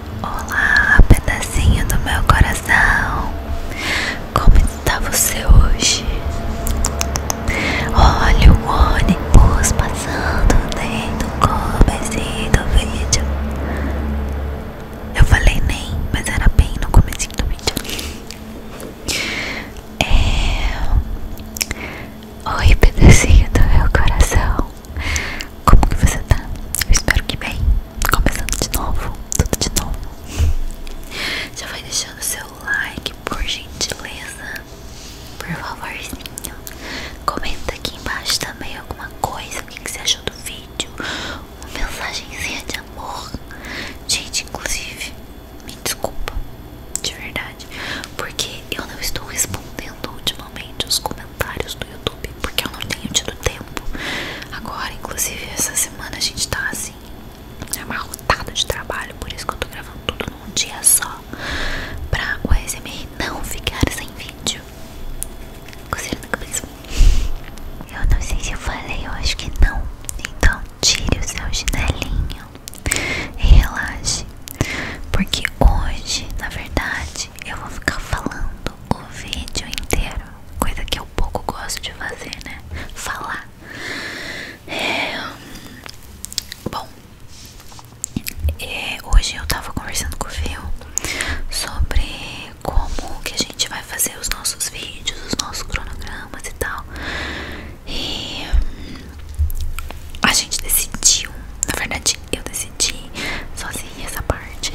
Olá, pedacinho do meu coração. Como está você hoje? Olha o ônibus passando dentro do começo do vídeo. Eu falei nem, mas era bem no começo do vídeo. É... Oi, pedacinho do meu coração. Como que você tá? Eu espero que bem. Começando de novo, tudo de novo. Já vai deixando seu like, por gentileza. Por favorzinho. Comenta aqui embaixo também alguma coisa, o que, você achou do vídeo. Uma mensagenzinha de amor. Gente, inclusive, me desculpa. De verdade. Porque eu não estou respondendo ultimamente os comentários comentários do YouTube, porque eu não tenho tido tempo. Agora, inclusive, essa semana a gente tá assim, amarrotado de trabalho, por isso que eu tô gravando tudo num dia só, pra o ASMR não ficar sem vídeo. Coceira na cabeça. Eu não sei se eu falei, eu acho que não. Então, tire o seu chinelinho e relaxe. Porque hoje, na verdade, eu vou ficar falando o vídeo inteiro, coisa que eu pouco gosto de fazer, né? Falar. É, bom, é, hoje eu tava conversando com o Phil sobre como que a gente vai fazer os nossos vídeos, os nossos cronogramas e tal. E a gente decidiu, na verdade eu decidi sozinha essa parte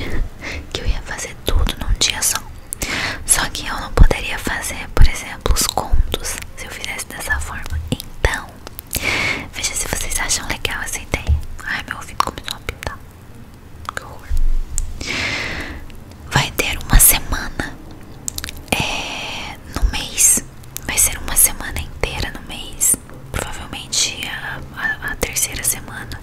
que eu ia fazer tudo num dia só. Só que eu não poderia fazer, por exemplo, os contos se eu fizesse dessa forma. Então, veja se vocês acham legal essa ideia. Ai, meu ouvido começou a pintar. Que horror. Vai ter uma semana é, no mês. Vai ser uma semana inteira no mês provavelmente a, terceira semana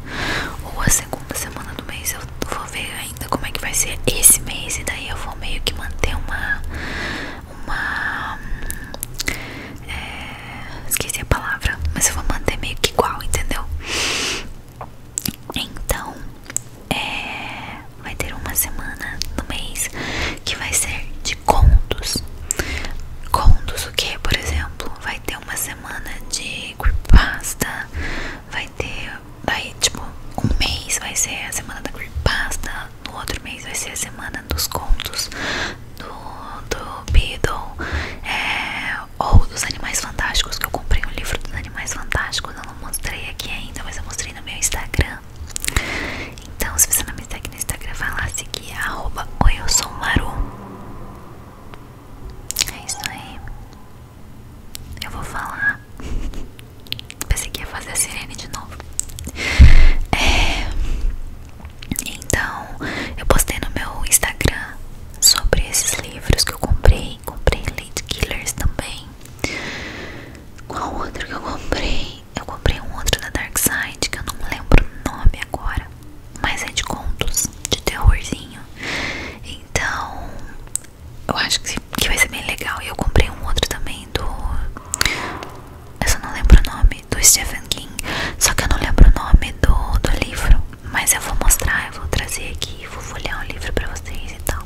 ou a segunda semana do mês eu vou ver ainda como é que vai ser esse mês e daí eu vou meio que manter uma é, esqueci a palavra mas eu vou manter meio que igual entendeu então é, vai ter uma semana no mês que vai ser de contos contos o que por exemplo vai ter uma semana de creepypasta, vai ter, daí tipo, um mês vai ser a semana da creepypasta, no outro mês vai ser a semana dos contos do, do Beedle, é, ou dos Animais Fantásticos, que eu comprei um livro dos Animais Fantásticos, eu não mostrei aqui ainda, mas eu mostrei no meu Instagram. Então, se você não me segue no Instagram, vai lá seguir, arroba, oi, eu sou o Maru. É isso aí. Eu vou falar. Pensei que ia fazer a sirene de novo. É... Então, eu postei no meu Instagram sobre esses livros que eu comprei. Comprei Late Killers também. Qual outro que eu comprei? Eu comprei um outro da Dark Side que eu não lembro o nome agora mais é de contos, de terrorzinho. Então, eu acho que, que vai ser bem legal. E eu comprei um outro também do. Eu só não lembro o nome, do Stephen King. Só que eu não lembro o nome do, do livro. Mas eu vou mostrar, eu vou trazer aqui, vou folhear o livro pra vocês e tal.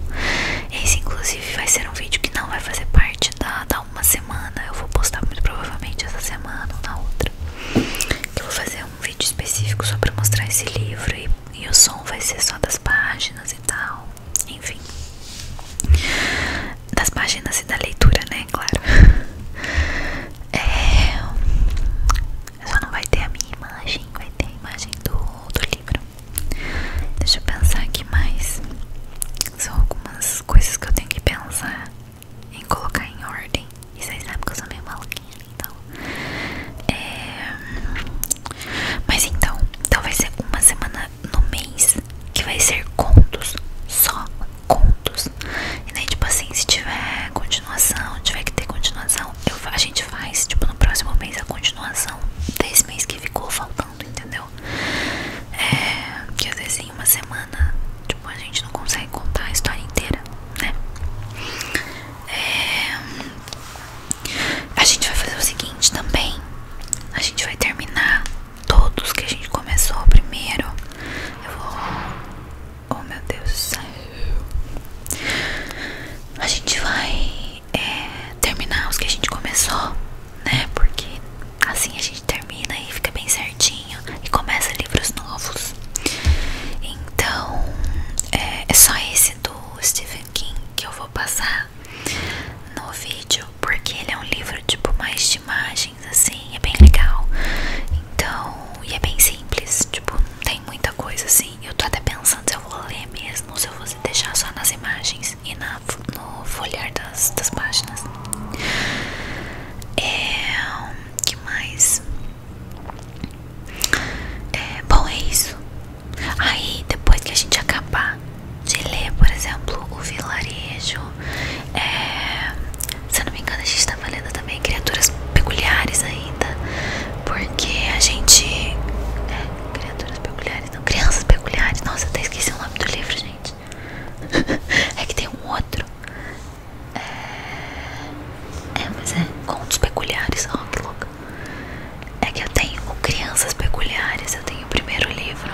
Esse, inclusive, vai ser um vídeo que não vai fazer parte da, da uma semana. Eu vou postar muito provavelmente essa semana ou na outra. Que vou fazer um vídeo específico só pra mostrar esse livro e, o som vai ser só das páginas e tal, enfim das páginas e da leitura, né, claro é, só não vai ter a minha imagem, vai ter a imagem do, do livro deixa eu pensar aqui mais são algumas coisas que eu tenho que pensar em colocar em ordem. E vocês sabem que eu sou meio maluquinha, então. É... Mas então, talvez então vai ser uma semana no mês que vai ser contos, só contos. E daí, tipo assim, se tiver continuação, tiver que ter continuação, a gente faz, tipo, no próximo mês a continuação desse mês que ficou faltando, entendeu? É, que às vezes em assim, uma semana, tipo, a gente não consegue contar a história inteira. Né? É, a gente vai fazer o seguinte também. A gente vai terminar todos que a gente começou primeiro. Eu vou. Oh meu Deus do céu! A gente vai é, terminar os que a gente começou, né? Porque assim a gente termina e fica bem certinho e começa livros novos. Então é, é, só esse do Stephen King que eu vou passar no vídeo, porque ele é um livro tipo mais de imagens, assim, é bem legal. Então, e é bem simples, tipo, não tem muita coisa assim. Eu tô até pensando se eu vou ler mesmo, se eu vou deixar só nas imagens e na, no folhear das, das páginas. É. que mais? É, bom, é isso. Aí, depois que a gente acabar de ler, por exemplo, o vilarejo, é, se eu não me engano, a gente estava lendo também criaturas peculiares ainda, porque a gente. É, criaturas peculiares, não, crianças peculiares. Nossa, até esqueci o nome do livro, gente. é que tem um outro é, é mas é contos peculiares, ó, que louco. É que eu tenho Crianças Peculiares, eu tenho o primeiro livro.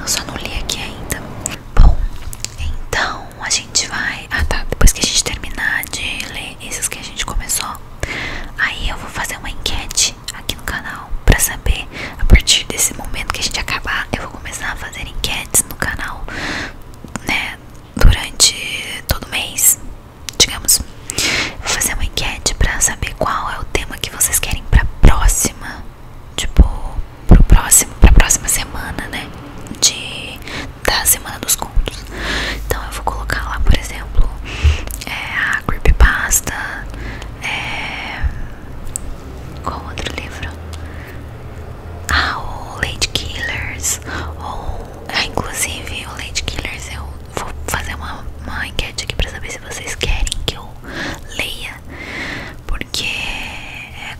Eu só não li aqui ainda. Bom, então a gente vai. Ah tá, depois que a gente terminar de ler esses que a gente começou, aí eu vou fazer uma enquete aqui no canal pra saber. A partir desse momento que a gente acabar, eu vou começar a fazer enquetes no canal, né? durante todo mês, digamos, vou fazer uma enquete para saber qual é o tema que vocês querem para próxima, tipo, pro próximo, para próxima semana, né? De da semana dos contos. Então eu vou colocar lá, por exemplo, é, a creepypasta, é, qual outro livro? Ah, o Lady Killers ou ah, inclusive o Lady Killers eu vou fazer uma, uma enquete aqui pra saber se vocês querem que eu leia porque é,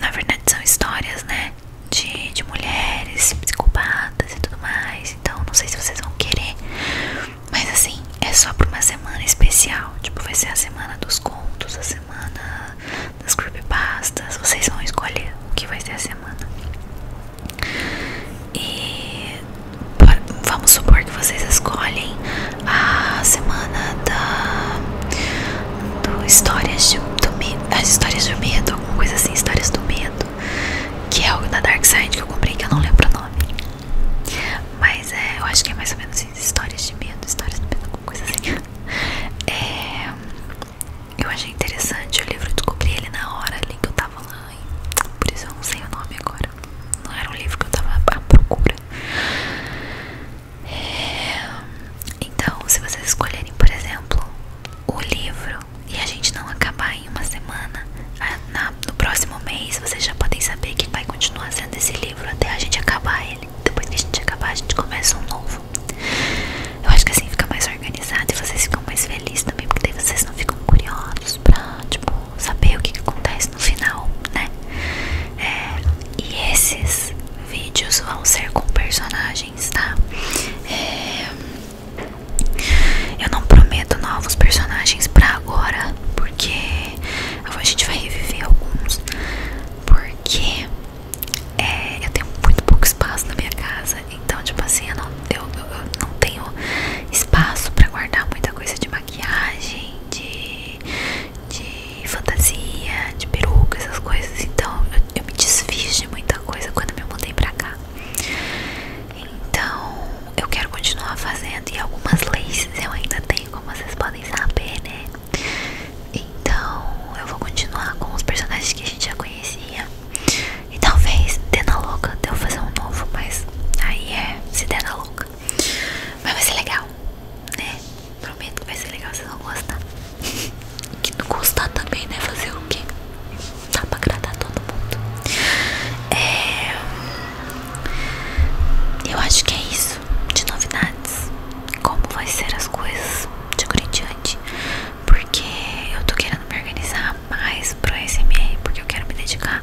na verdade são histórias né de, de mulheres psicopatas e tudo mais então não sei se vocês vão querer mas assim é só pra uma semana especial tipo vai ser a semana dos contos a semana nas group pastas. Vocês vão escolher o que vai ser a semana. E vamos supor que vocês escolhem a semana da do histórias de, do medo, as ah, histórias do medo, alguma coisa assim, histórias do medo, que é algo da Dark Side que eu comprei que eu não lembro o nome. Mas é, eu acho que é mais ou menos isso, histórias de medo, histórias do medo, alguma coisa assim. É, eu achei interessante o livro, eu descobri ele na hora ali que eu tava lá, por isso eu não sei o nome agora. Não era um livro que eu tava à procura. É, então, se vocês escolherem, por exemplo, o livro e a gente não acabar em uma semana, no próximo mês vocês já podem saber que vai continuar sendo esse livro até a gente acabar ele. Depois que a gente acabar, a gente começa um novo. Eu acho que assim fica mais organizado e vocês ficam mais felizes também, porque daí vocês não ficam curiosos pra, tipo, saber o que, acontece no final, né? É, e esses vídeos vão ser com personagens, tá? É, eu não prometo novos personagens pra agora, porque a gente vai reviver alguns, porque é, eu tenho muito pouco espaço na minha casa, então tipo assim eu não, eu, não tenho espaço para guardar muita coisa de maquiagem, de, de fantasia, de peruca, essas coisas. Então eu, eu me desfiz de muita coisa quando me mudei pra cá. Então eu quero continuar fazendo e algumas laces eu ainda tenho, como vocês podem saber, né? Então eu vou continuar com os personagens que a gente já conhecia. E talvez dê na louca de eu fazer um novo, mas aí é se der na louca. Mas vai ser legal, né? Prometo que vai ser legal, vocês vão gostar. E que não gostar também, né? Fazer o quê? Dá pra agradar todo mundo. É... Eu acho que é isso de novidades. Como vai ser as coisas de agora em diante porque eu tô querendo me organizar mais pro ASMR, porque eu quero me dedicar,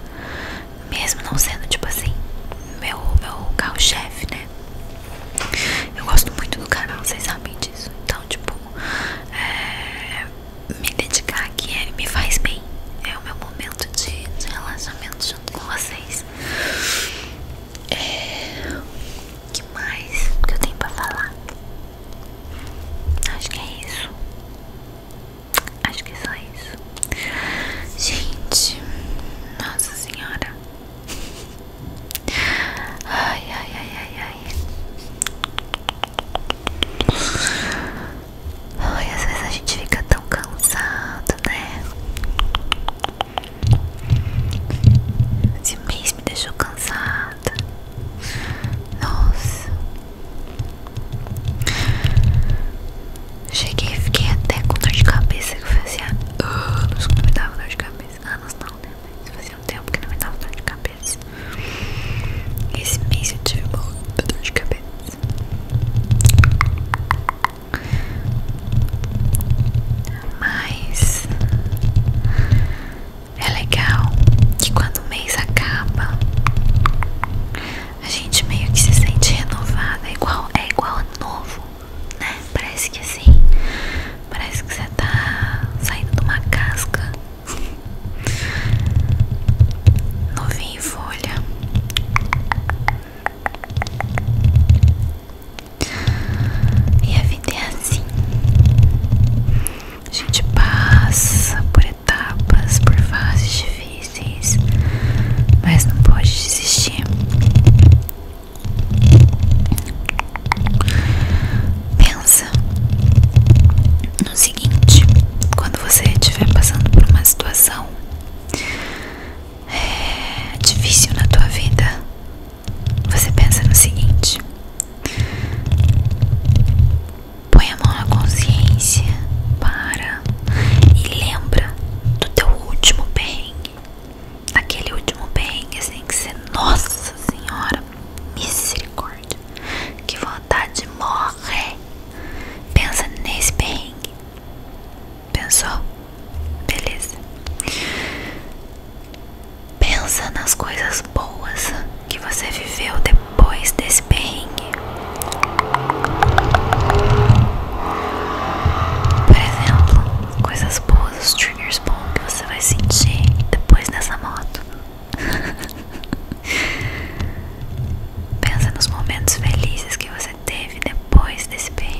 mesmo não sendo tipo assim, meu, meu carro-chefe, né? Eu gosto muito do canal, vocês sabem disso, então, tipo, é, me dedicar aqui é, me faz bem, é o meu momento de, de relaxamento junto com vocês. É, que mais que eu tenho pra falar? Acho que é isso. Acho que é só isso. Gente, nossa senhora. Ai, ai, ai, ai, ai. Ai, às vezes a gente fica tão cansado, né? Esse mês me deixou cansado. Nossa. Cheguei e fiquei até com dor de cabeça que fazia assim, anos que não me dava dor de cabeça. Anos não, né? fazia um tempo que não me dava dor de cabeça. Esse mês eu tive muita dor de cabeça. Mas é legal que quando o mês acaba, a gente meio que se sente renovada, é igual, é igual a novo, né? Parece que assim, parece que você tá saindo de uma casca. novinha em folha. E a vida é assim. A gente passa por etapas, por fases difíceis, mas não pode desistir. Pensa no seguinte: quando você estiver passando por uma situação é, difícil na tua vida, você pensa no seguinte: põe a mão na consciência, para e lembra do teu último bem, Aquele último bem assim, que ser nossa senhora, misericórdia, que vontade de morrer. Pensa nesse bem. Pensou? Beleza. Pensa nas coisas boas que você viveu depois desse perrengue. Por exemplo, coisas boas, os triggers bons que você vai sentir depois dessa moto. Pensa nos momentos felizes que você teve depois desse perrengue.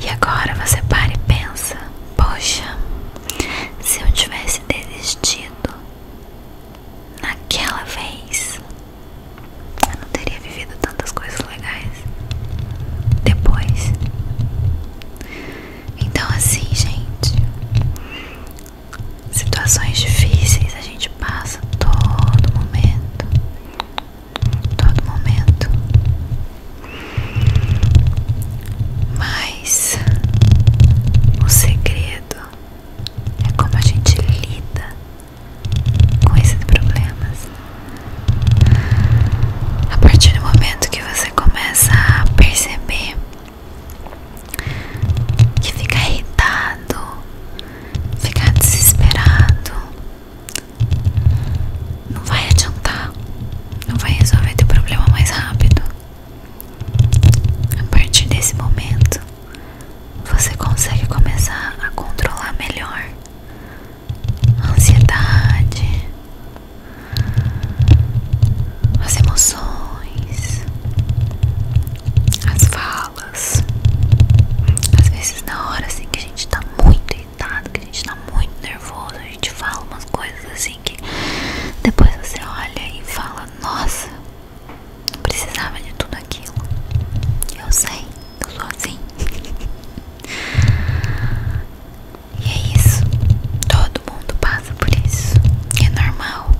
E agora você para e pensa: poxa, se eu tivesse desistido naquela vez, eu não teria vivido tantas coisas legais depois. Então, assim, gente, situações difíceis a gente passa todo momento. Todo momento mas o segredo é como a gente lida com esses problemas. A partir do momento que você começa a perceber que fica irritado, fica desesperado, não vai adiantar. Não vai resolver teu problema mais rápido. A partir desse momento, você consegue começar a controlar melhor a ansiedade, as emoções, as falas. Às vezes, na hora assim que a gente está muito que a gente tá muito nervoso, a gente fala umas coisas assim que depois você olha e fala, nossa, não precisava de tudo aquilo. Eu sei, eu sou assim. e é isso. Todo mundo passa por isso. É normal.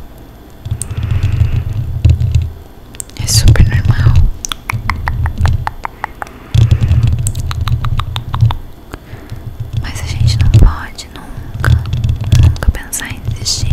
É super normal. Mas a gente não pode nunca, nunca pensar em desistir.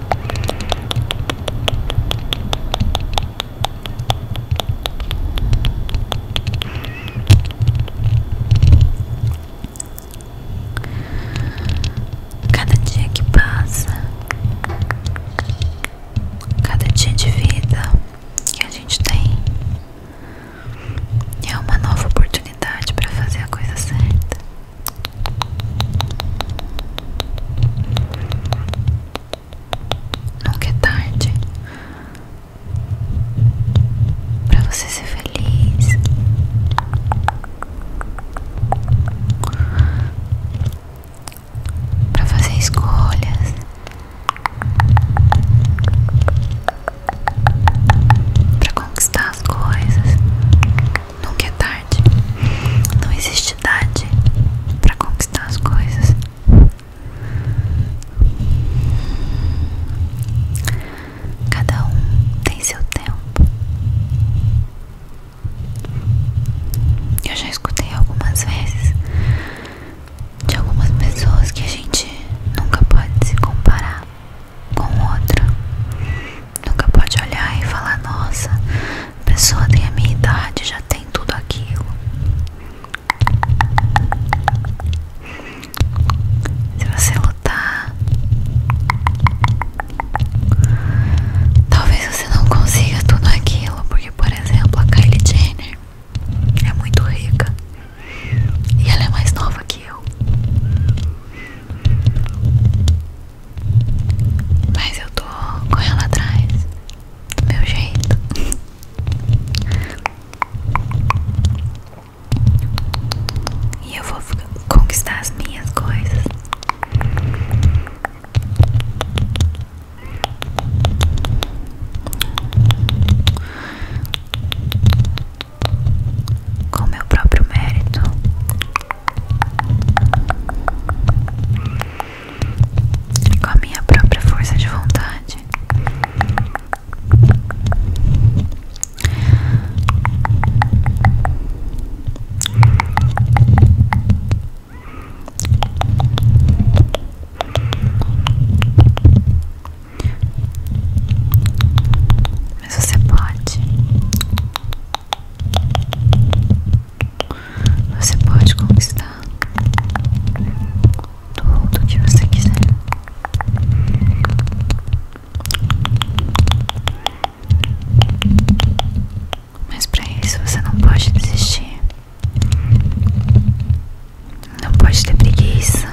Cada dia que passa, cada dia de vida que a gente tem é uma nova oportunidade para fazer a coisa certa. Nunca é tarde para você ser feliz. Para fazer escolhas. Para conquistar as coisas nunca é tarde. Não existe idade para conquistar as coisas. Cada um tem seu tempo. Eu já escutei algumas vezes de algumas pessoas que a gente nunca pode se comparar com outra. Nunca pode olhar e falar: Nossa, a pessoa tem a minha idade, já tem tudo aquilo. Se você lutar, talvez você não consiga tudo aquilo. Porque, por exemplo, a Kylie Jenner é muito rica e ela é mais nova que eu. Mas eu tô correndo atrás do meu jeito. E eu vou conquistar as minhas coisas. Com meu próprio mérito com a minha própria força de vontade. Mas você pode. Você pode conquistar tudo que você quiser. Mas para isso você não pode desistir. Não pode ter preguiça.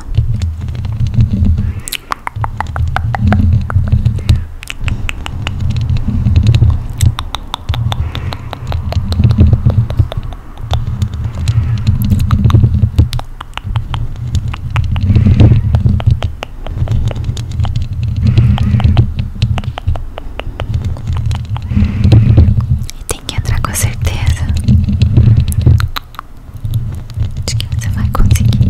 E tem que entrar com certeza. Acho que você vai conseguir.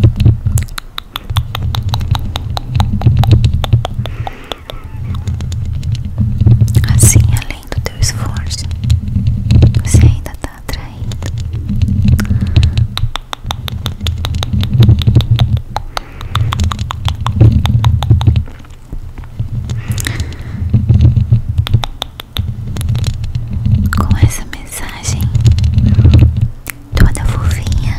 Assim, além do teu esforço, você ainda tá atraindo com essa mensagem toda fofinha.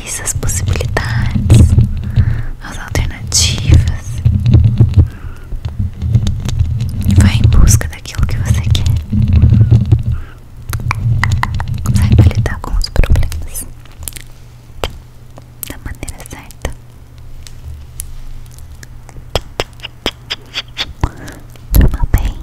as possibilidades, as alternativas. E vai em busca daquilo que você quer. Saiba lidar com os problemas da maneira certa. Durma bem.